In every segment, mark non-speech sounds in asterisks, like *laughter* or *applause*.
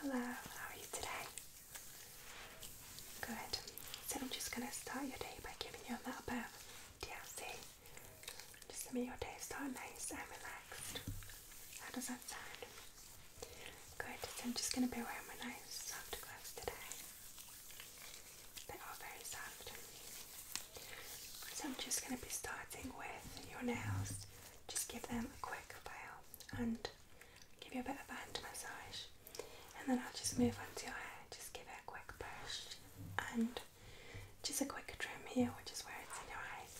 Hello, how are you today? Good. So I'm just gonna start your day by giving you a little bit of Just to make your day start nice and relaxed. How does that sound? Good, I'm just gonna be wearing my nice soft gloves today. They are very soft. So I'm just gonna be starting with your nails. Just give them a quick file and give you a bit of a hand massage, and then I'll just move on to your hair, just give it a quick brush and just a quick trim here, which is where it's in your eyes.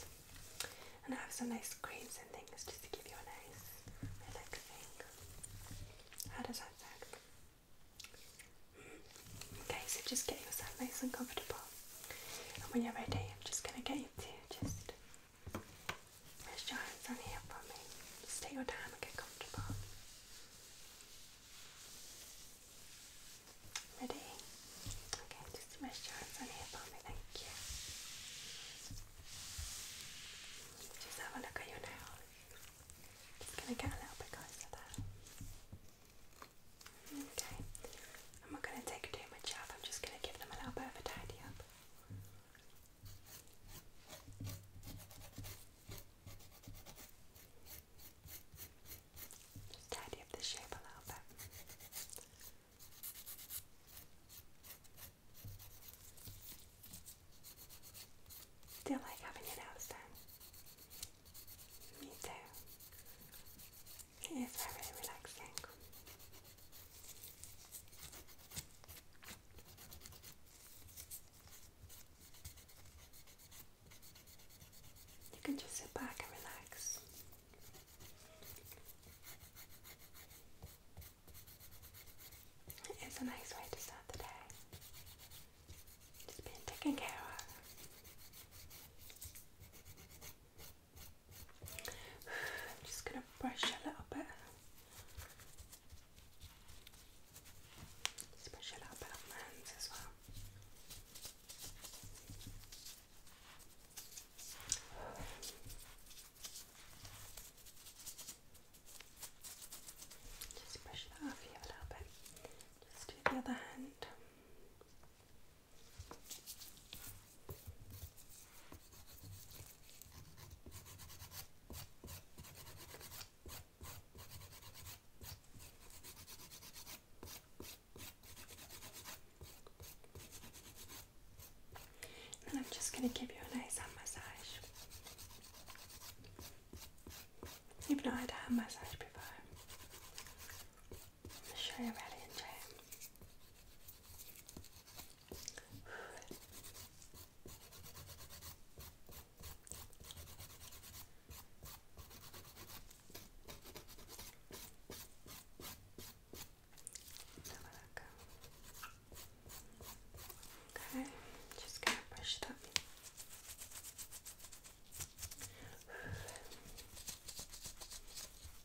And I have some nice creams and things just to give you a nice relaxing. How does that sound? Mm. Okay, so just get yourself nice and comfortable. And when you're ready, I'm just going to get you to just there's giants on here for me. Just take your time and get comfortable. Ready? Okay, just rest your hands on here for me, thank you. Just have a look at your nails. Just gonna get a little bit closer there. Okay, I'm not gonna take too much off, I'm just gonna give them a little bit of a tidy up. Just tidy up the shape a little bit. Do like having your nails done? Me too. It is very relaxing. You can just sit back and relax. It's a nice way to start the day. Just being taken care of. I'm *sighs* just going to brush a little bit. Just brush bit on hands as well. Just brush that off here a little bit. Just do the other hand. I'm just going to give you an nice hand massage. You've not had a hand massage before. I'm sure you're really enjoy it. Okay, just gonna brush that. Okay.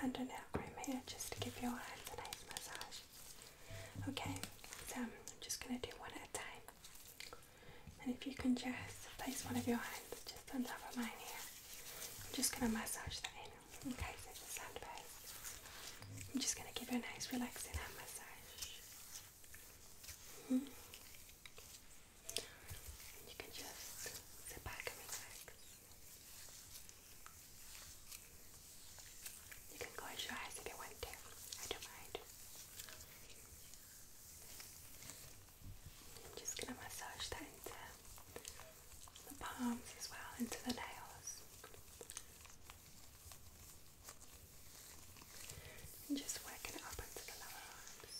hand and out cream here just to give your hands a nice massage. Okay, I'm just going to do one at a time. And if you can just place one of your hands just on top of mine here, I'm just going to massage that in. Okay, so it's a sand base. I'm just going to give you a nice relaxing hand massage. -hmm. You can just sit back and relax. You can close your eyes if you want to. I don't mind. I'm just gonna massage that into the palms as well, into the nails. And just working it up into the lower arms.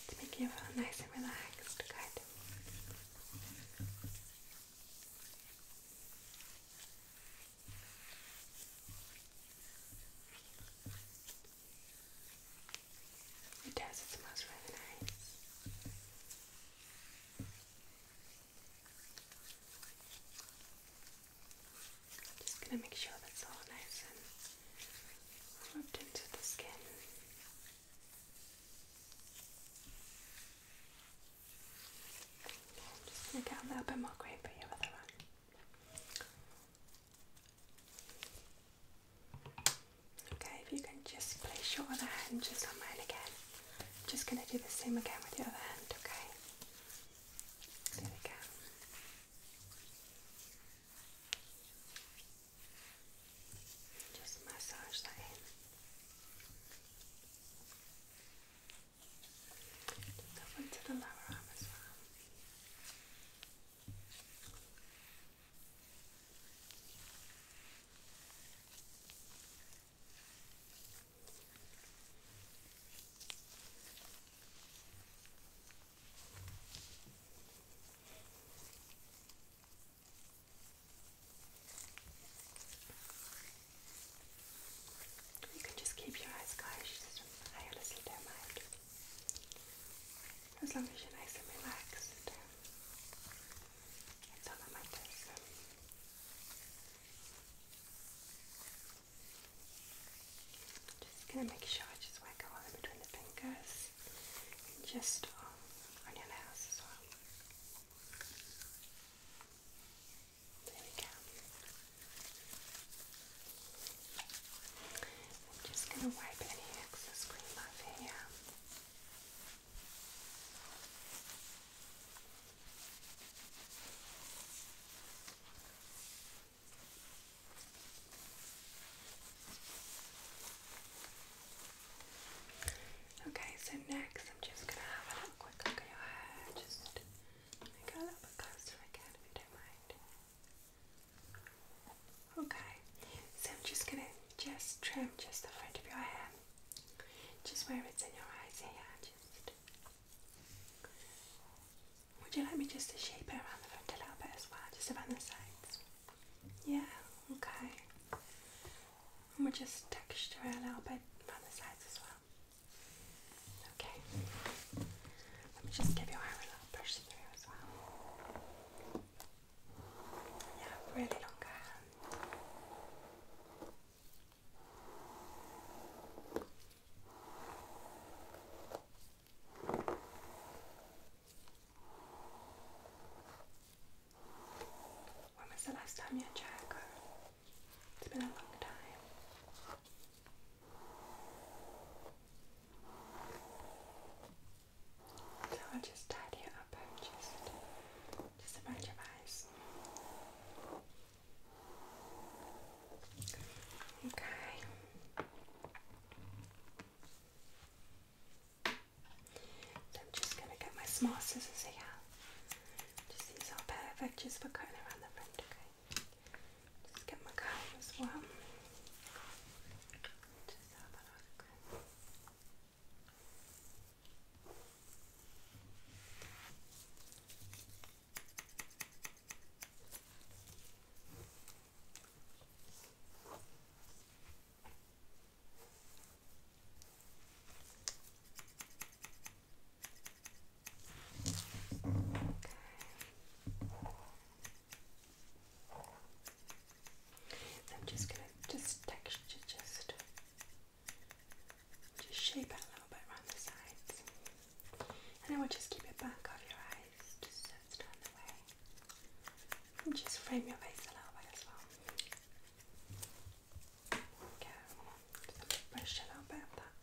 It's making you feel nice and relaxed, good. It does, it smells really nice. Just gonna make sure that's all nice and rubbed into the skin. Okay, I'm just gonna get a little bit more green for you with one. Okay, if you can just place your other hand just on mine again. I'm just going to do the same again with your other hand, okay? There we go. Just massage that in. Just over to the lower arm as well. You can just keep your eyes closed and play a little demo as long as you're nice and relaxed. Um, that's all that matters. Just gonna make sure I just will all in between the fingers just um, on your nails as well. There we go. I'm just going to wipe any excess cream off here. Okay, so next I'm just going to have a quick look at your hair, just I got up close to the cat if you don't mind. Okay, so I'm just gonna just trim just the front of your hair, just where it's in your eyes here. Just would you like me just to shape it around the front a little bit as well, just around the sides? Yeah, okay. And we'll just texture it a little bit around the sides as well. Okay. Let me just give your hair a little push through as well. Yeah, really long hair. When was the last time you had your hair It's been a long time. So I'll just tidy you up, just, just about your eyes. Okay. So I'm just going to get my small scissors here. Just these are perfect just for cutting around the front, okay? Just get my comb as well. Just have a look. I'm just gonna just texture just just shape it a little bit around the sides. And I will just keep it back of your eyes, just so it's the way. And just frame your face a little bit as well. There we brush a little bit of that.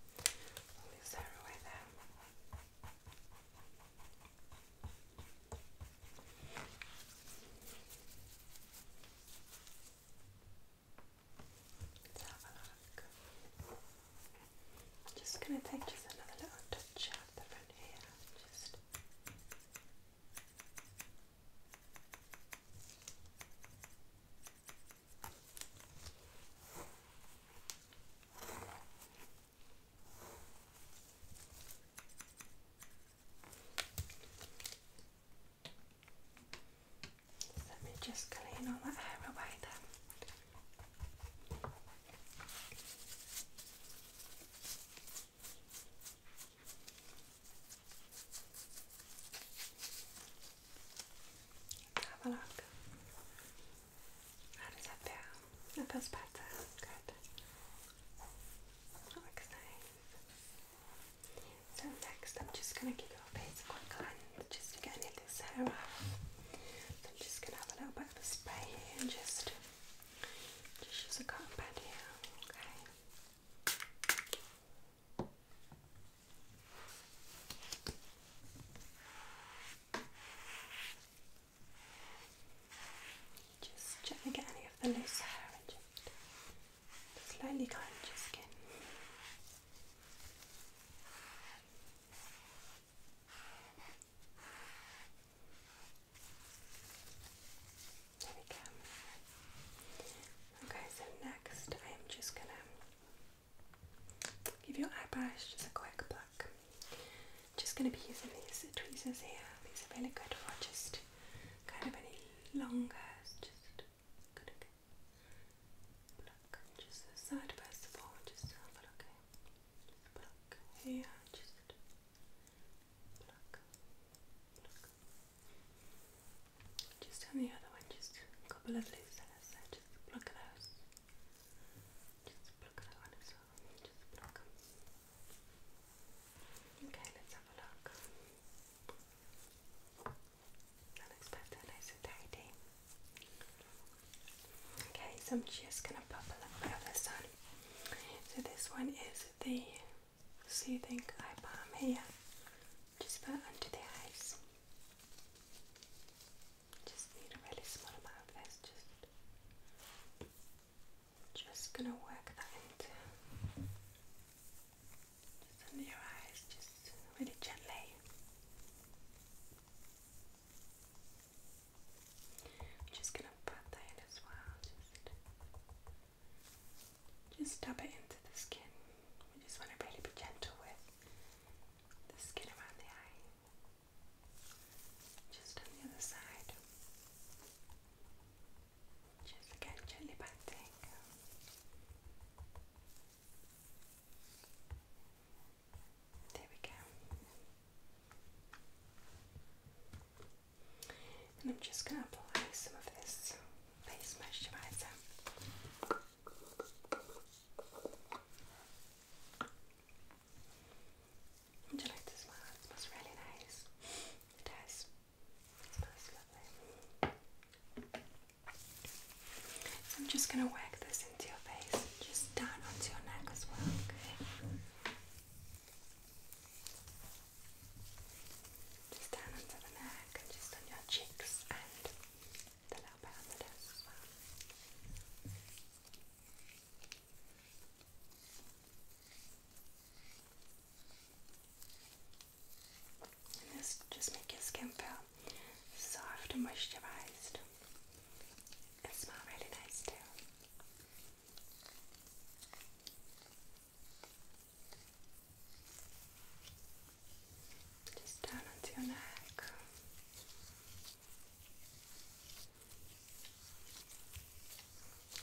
Move away there. Let's just going to take just another little touch out the front here. Just let me just clean all that hair away then. have a look. How does that feel? That feels better. Good. That looks nice. So next I'm just going to give your face a quick cleanse just to get any of this hair off. I'm just going to have a little bit of a spray and just, just use a cotton pad here, Okay, just gently get any of the loose hair and just slowly comb your skin. There we go. Okay, so next I am just gonna Give your eyelash just a quick pluck. Just going to be using these tweezers here. These are really good for just kind of any longer. Just good. Pluck just the side first of all. Just a look. Just Just pluck. Pluck. Just on the other one. Just couple of loose hairs. Just pluck those. Just pluck that one as well. Just pluck. Okay, let's have a look. That looks better, nice and tidy. Okay, so I'm just gonna pop a little bit of this on. So this one is the soothing eye balm here. Just put under the eyes. Just need a really small amount of this. Just, just gonna work that into just under your eyes, just really gently. just gonna put that as well. Just, just dab it into the skin. We just want to really be gentle with the skin around the eye. Just on the other side. Just again, gently patting. There we go. And I'm just going to apply some of this face moisturizer. Would you like to smell? It smells really nice. It does. It smells lovely. So I'm just gonna whack this into your face, just down onto your neck as well, okay? Just down onto the neck and just on your cheeks and a little bit on the desk as well. And this just makes your skin feel soft and moisturized. It smells really nice too. Just down onto your neck.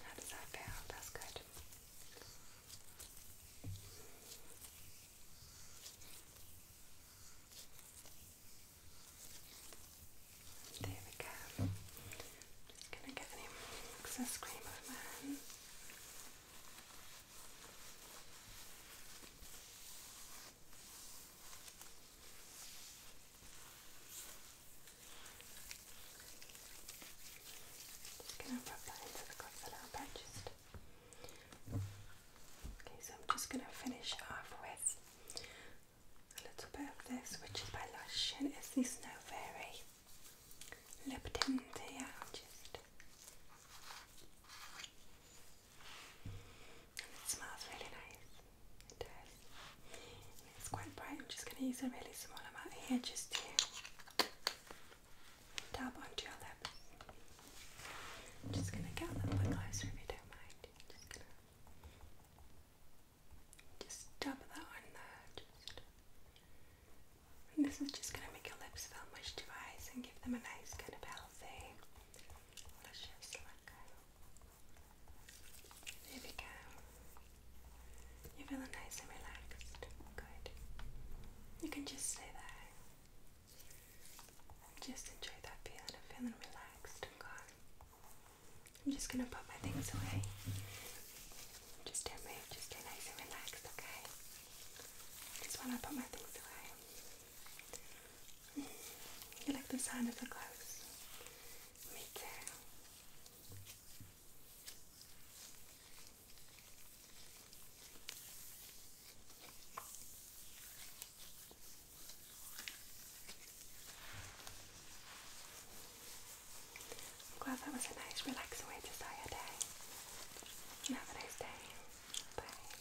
How does that feel? That's good. There we go. just gonna give him excess cream of my hand. Just going Okay, so I'm just gonna finish off with a little bit of this, which is by Lush, and it's the Snow Fairy lip tint here. And it smells really nice. It does. it's quite bright. I'm just going to use a really small amount here just to dab onto your lips. I'm just going to get a little closer if you don't mind. just dab that on there. Just. this is just going to make your lips feel moisturised and give them a nice kind of healthy, luscious look. There we go. You're feeling nice and relaxed. Good. You can just stay there. Just enjoy that feeling of feeling relaxed and calm. I'm just gonna put my things away. Just don't move, just stay nice and relaxed, okay? Just wanna put my things away. You like the sound of the clothes? Me too. I'm glad that was a nice relaxing way to start your day. Have a nice day. Bye.